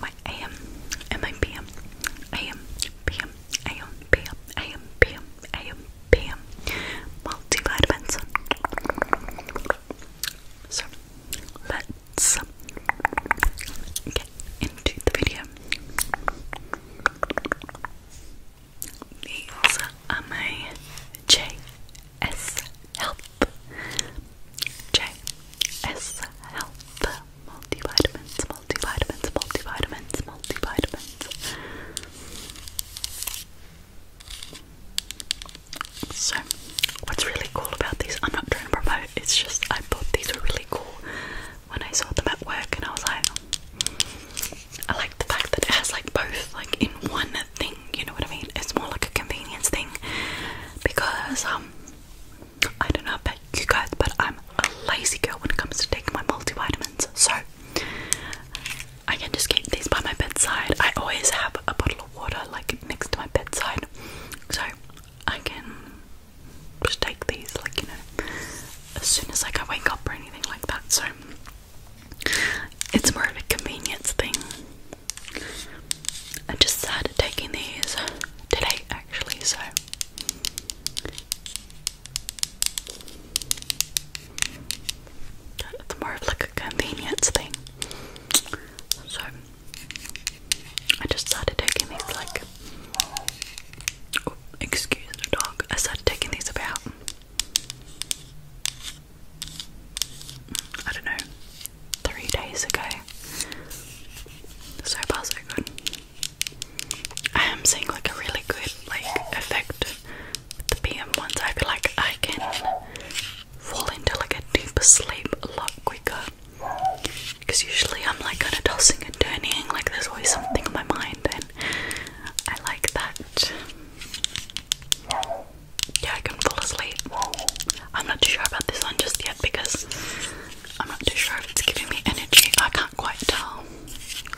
my AM and my PM. AM, PM, AM, PM, AM, PM, AM, PM. Multivitamins. So let's get into the video. These are my J S help. J S help. Multivitamins, multivitamins, multivitamins, multivitamins. So, what's really cool about these? I'm not trying to promote. It's just I thought these were really cool when I saw them at work, and I was like, I like the fact that it has like both, like in one thing you know what I mean? It's more like a convenience thing because um I don't know about you guys, but I'm a lazy girl when it comes to taking my multivitamins. So I can just keep these by my bedside. I always have a bottle of water like next to my bedside. So I can just take these like, you know, as soon as like I wake up or anything like that. So it's more of a convenience thing. I just started taking these today actually, so it's more of like a convenience thing. So I just started taking these like oh, excuse the dog. I started taking these about I don't know, three days ago. So far, so good. I am seeing like a really good like effect with the PM ones. I feel like I can fall into like a deeper sleep a lot quicker. Because usually I'm like kind of tossing and turning, like there's always something on my mind, and I like that. Yeah, I could fall asleep. I'm not too sure about this one just yet because I'm not too sure if it's giving me energy. I can't quite tell.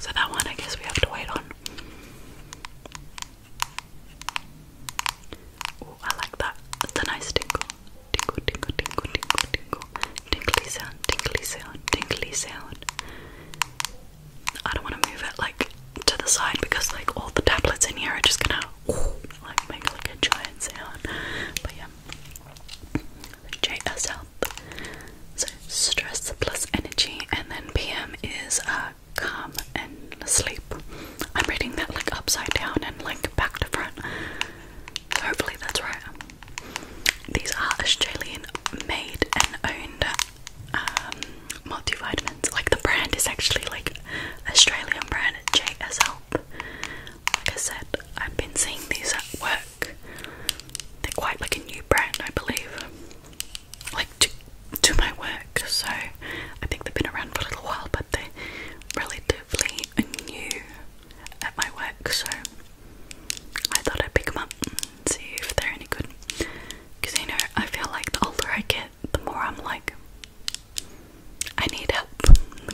So that one I guess we have to wait on. Oh, I like that. It's a nice tingle. Tingle, tingle, tingle, tingle, tingle. Tingly sound, tingly sound, tingly sound. I don't want to move it like to the side because like all the tablets in here are just gonna like make like a giant sound. But yeah, JS help. So stress plus energy, and then PM is uh, calm and sleep. I'm reading that like upside down and like back to front. Hopefully that's right. These are Australian made and owned um, multivitamins. Like the brand is actually like Australian brand JS Help. Like I said, I've been seeing these at work. They're quite like a new brand, I believe. Like to do my work, so I think they've been around for a little while, but they're relatively new at my work, so I thought I'd pick them up and see if they're any good. Because you know, I feel like the older I get, the more I'm like, I need help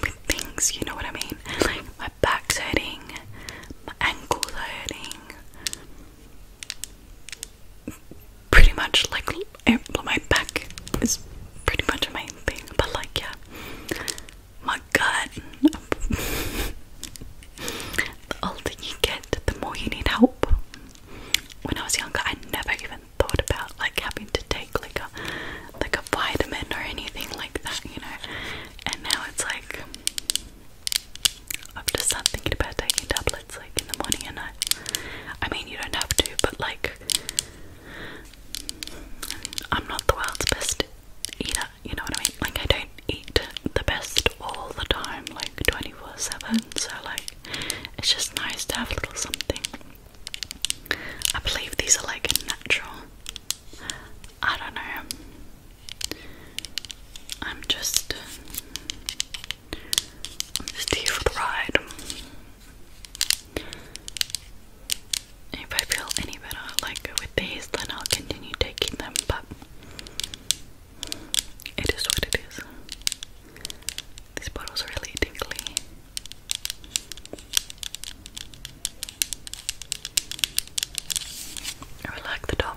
with things, you know what I mean? Like, my back's hurting, my ankles hurting. Pretty much, like, eh, my back is pretty much my main thing, but like, yeah my god. the older you get, the more you need help. When I was younger, I never even thought about like having to take like a like a vitamin or anything like that, you know. And now it's like I've just started thinking about taking tablets like in the morning and night. I mean, you don't have to, but like, I'm not the world's best eater, you know what I mean? Like, I don't eat the best all the time, like 24 7, so like, it's just nice to have a little something. I believe these are like natural. I don't know. I'm just. Um, I'm just if I feel any better, like with these, then I'll continue taking them, but it is what it is. This bottle's really tingly. I like the top.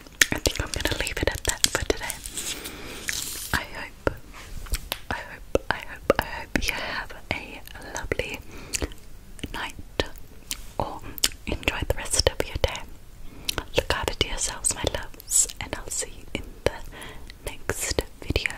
I think I'm gonna leave it at that for today. I hope, I hope, I hope, I hope you have a lovely night or enjoy the rest of your day. Look after yourselves, my loves, and I'll see you in the next video.